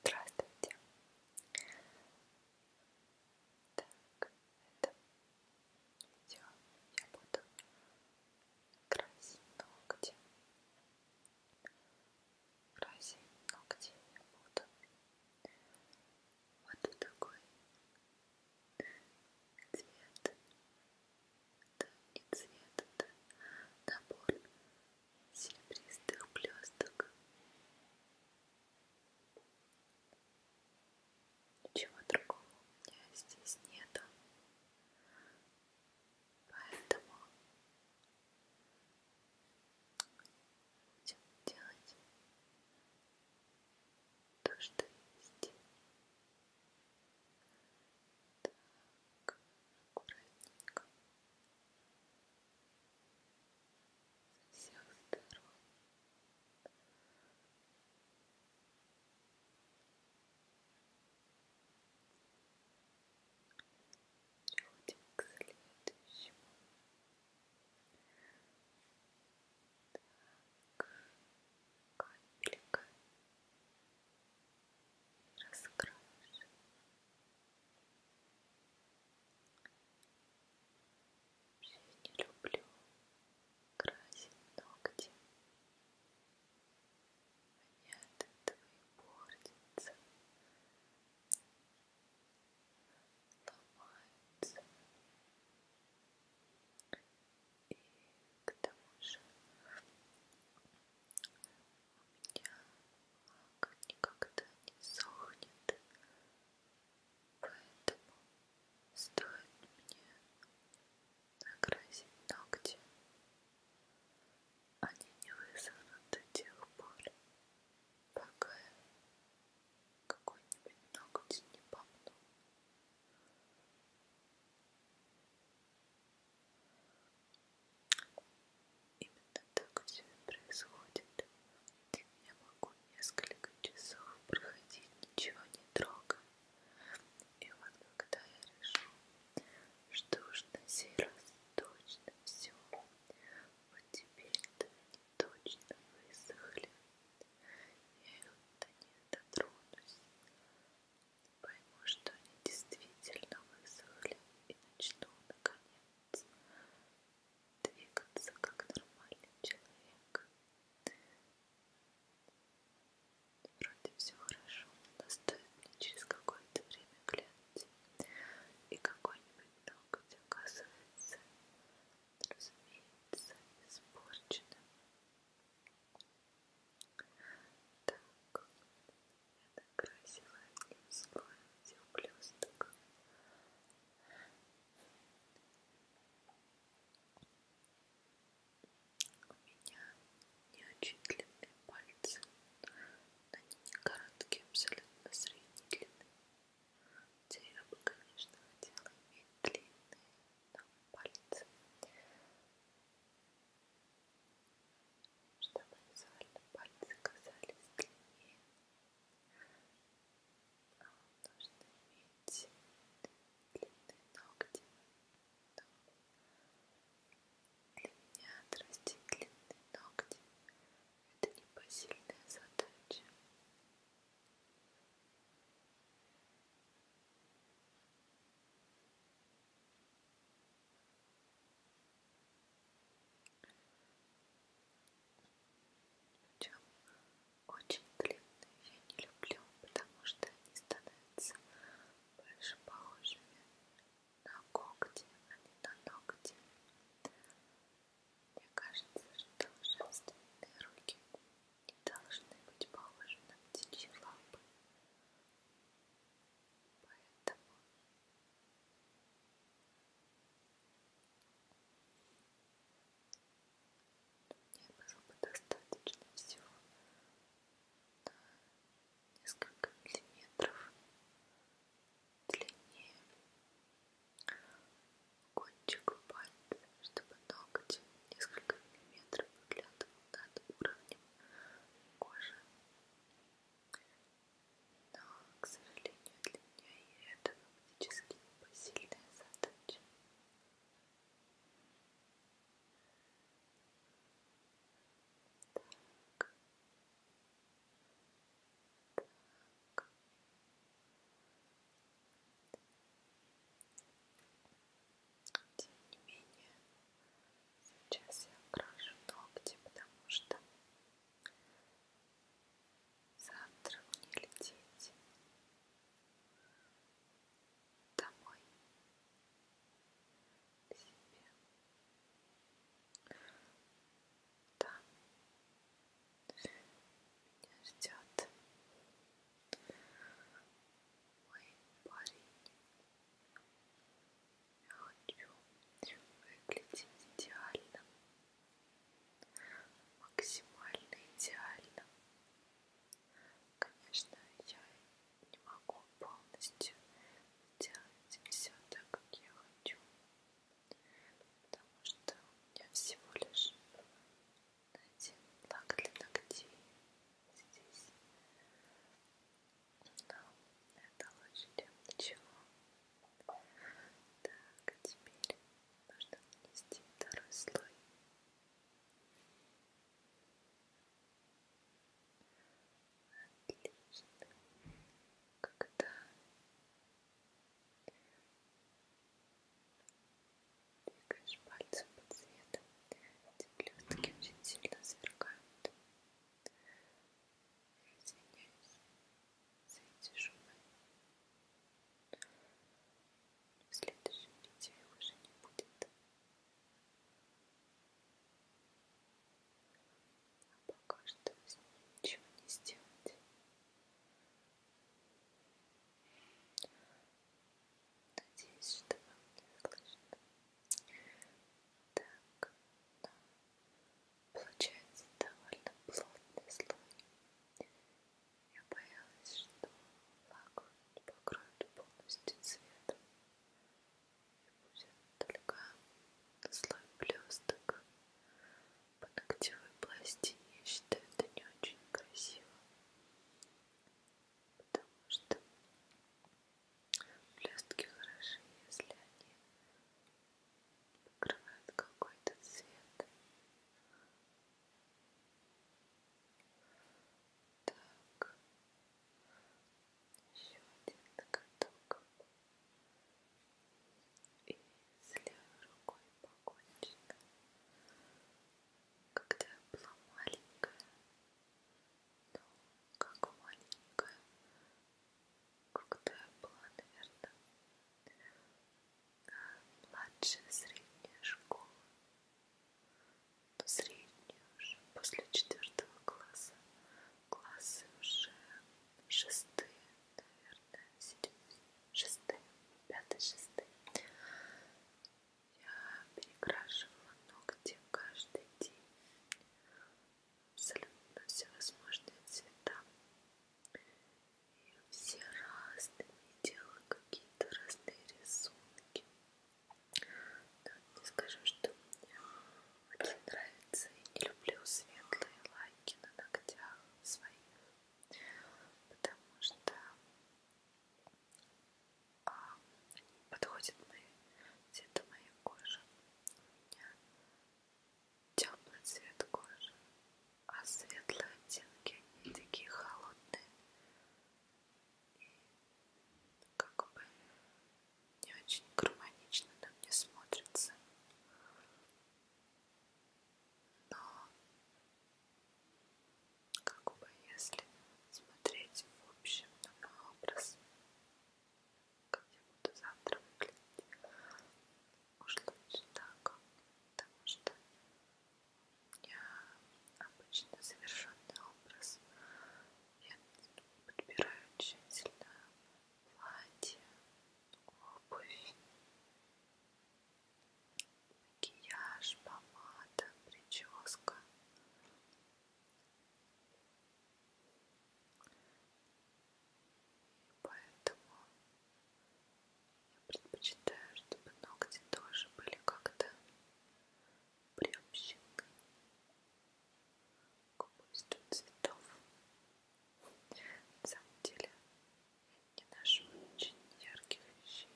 Здравствуйте. Так, это видео я буду красить ногти. Красить ногти я буду. Вот такой цвет. Это не цвет, это набор серебристых блесток ничего другого у меня здесь нету поэтому будем делать то, что есть так, аккуратненько со всех сторон. Переходим к следующему. Так, капелька раскрашиваешь. Я не люблю красить ногти. Они от этого и портятся, ломаются. И к тому же как никогда не сохнет, поэтому стоит мне накрасить ногти, они не высохнут до тех пор, пока какой-нибудь ноготь не помну. Именно так все и происходит. Я могу несколько часов проходить, ничего не трогая. И вот когда я решу, что уж на сей раз точно все, вот теперь-то они точно высохли, я их-то не дотронусь, Пойму, что они действительно высохли и начну, наконец, двигаться как нормальный человек. Вроде все хорошо, но стоит мне через какое-то время глянуть, и какой-нибудь ноготь оказывается, разумеется, испорченным. Так, я докрасила одним слоем зеблёсток. У меня неочи длинные пальцы, но они не короткие, абсолютно средней длины. Хотя я бы, конечно, хотела иметь длинные, но пальцы чтобы визуально пальцы казались длиннее. А нужно иметь длинные ногти, но для меня отрастить длинные ногти – это непосильная задача. Причем очень длинные я не люблю, потому что они становятся больше похожими на когти, а не на ногти. Мне кажется, что женственные руки не должны быть похожи на птичьи лапы. Поэтому мне было бы достаточно всего на несколько миллиметров длиннее кончику пальца, чтобы ноготь несколько миллиметров выглядывал над уровнем кожи но, к сожалению, для меня и это фактически непосильная задача. Так. Так. Тем не менее, сейчас я крашу ногти, потому что завтра мне лететь домой к себе. Там меня ждет мой парень. Я хочу выглядеть идеально, максимально идеально. Конечно, я не могу полностью сделать все так, как я хочу, потому что у меня всего лишь один лак для ногтей здесь. Но это лучше, чем ничего. Так, а теперь нужно внести второй слой. Отлично. Когда двигаешь пальцем по цвету, эти блестки очень сильно сверкают. Я извиняюсь за эти шумы. В следующем видео их уже не будет. А пока что с ним ничего не сделать. Надеюсь, что вам не слышно. Так, но получается довольно плотный слой. Я боялась, что лак покроет полностью цветом. И будет только слой блесток по ногтевой пластине. Я считаю, это не очень красиво. Потому что Блестки хороши, если они покрывают какой-то цвет. Так, еще один ноготок. И с левой рукой покончено. Когда я была маленькая, как маленькая, когда я была, наверное, младшая средняя школа, но ну, средняя уже, после четвертого класса, классы уже шестые, наверное, седьмые, шестые, пятые, шестые, я перекрашивала ногти каждый день. Абсолютно всевозможные цвета. И все разные. Делала какие-то разные рисунки. Но не скажу, что мне очень нравится и не люблю светлые лайки на ногтях своих. Потому что а, они подходят мои, цвета моей кожи. У меня темный цвет кожи, а светлые оттенки, они такие холодные. И как бы не очень гармонично на мне смотрится. Но как бы если смотреть в общем на мой образ, как я буду завтра выглядеть, уж лучше так, потому что у меня обычно совершенный образ, я подбираю тщательно платье, обувь, макияж, помада, прическа. И поэтому я предпочитаю, чтобы ногти тоже были как-то приобщены к убийству цветов. На самом деле я не ношу очень ярких вещей.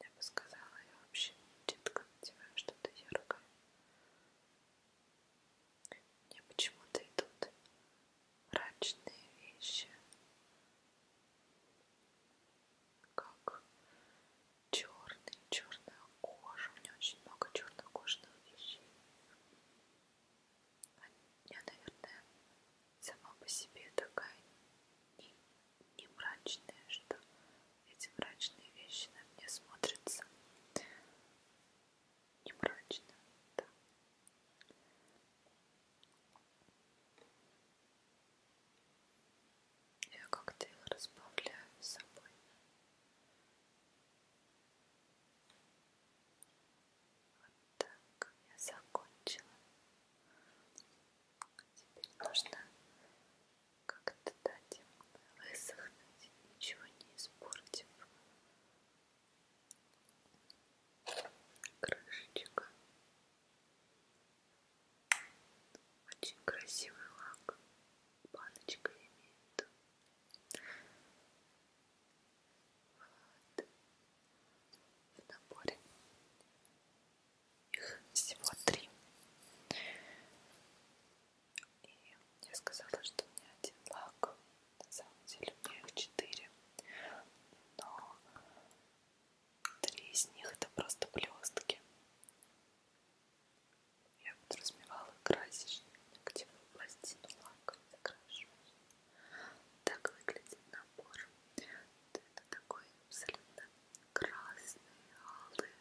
Я бы сказала, я вообще четко надеваю что-то яркое. Мне почему-то идут мрачные вещи, как черный, черная кожа. У меня очень много чернокожных вещей. Я, наверное, сама по себе такая не, не мрачная, что эти мрачные вещи на мне смотрятся не мрачно, да. Я как-то их разбавляю с собой. Вот так я закончила. Теперь нужно как-то дать им высохнуть, ничего не испортив. Крышечка. Очень красивый лак. Баночка имеет. Вот. В наборе их всего три. И я сказала, что у меня один лак. На самом деле у меня их четыре. Но три из них это просто блестки. Я подразумевала красишь ногтевую пластину лаком закрашиваешь. Так выглядит набор. Это такой абсолютно красные, алые,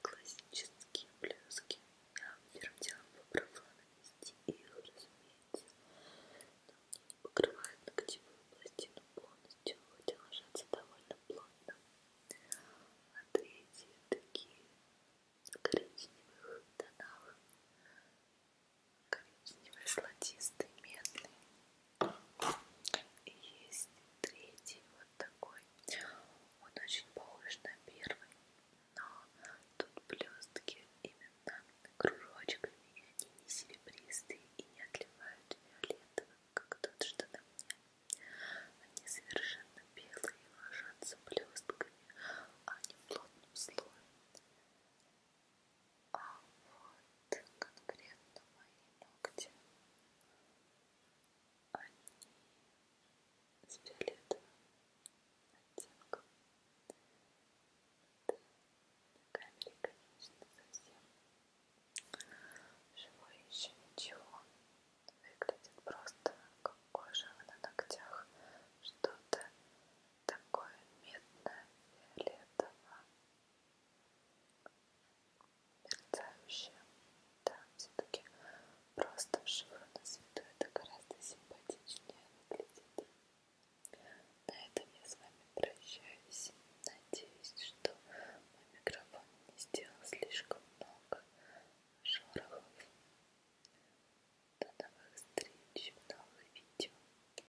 классические блески. Я первым делом попробовала нанести их, разумеется, но они не покрывают ногтевую пластину полностью, хотя ложатся довольно плотно. А третьи такие в коричневых тонах коричневый, золотистый, медный. И есть третий вот такой. Он очень похож на первый, но тут блестки именно кружочками, и они не серебристые и не отливают фиолетовым, как тот, что на мне. Они совершенно белые, ложатся блестками, а не плотным слоем. А вот конкретно мои ногти, они с фиолетовым оттенком. Это на камере, конечно, совсем живой еще ничего. Выглядит просто как кожа на ногтях. Что-то такое медное, фиолетовое мерцающая. Да, все-таки просто вшивая на свету это гораздо симпатичнее выглядит. На этом я с вами прощаюсь. Надеюсь, что мой микрофон не сделал слишком много шорохов. До новых встреч, новых видео.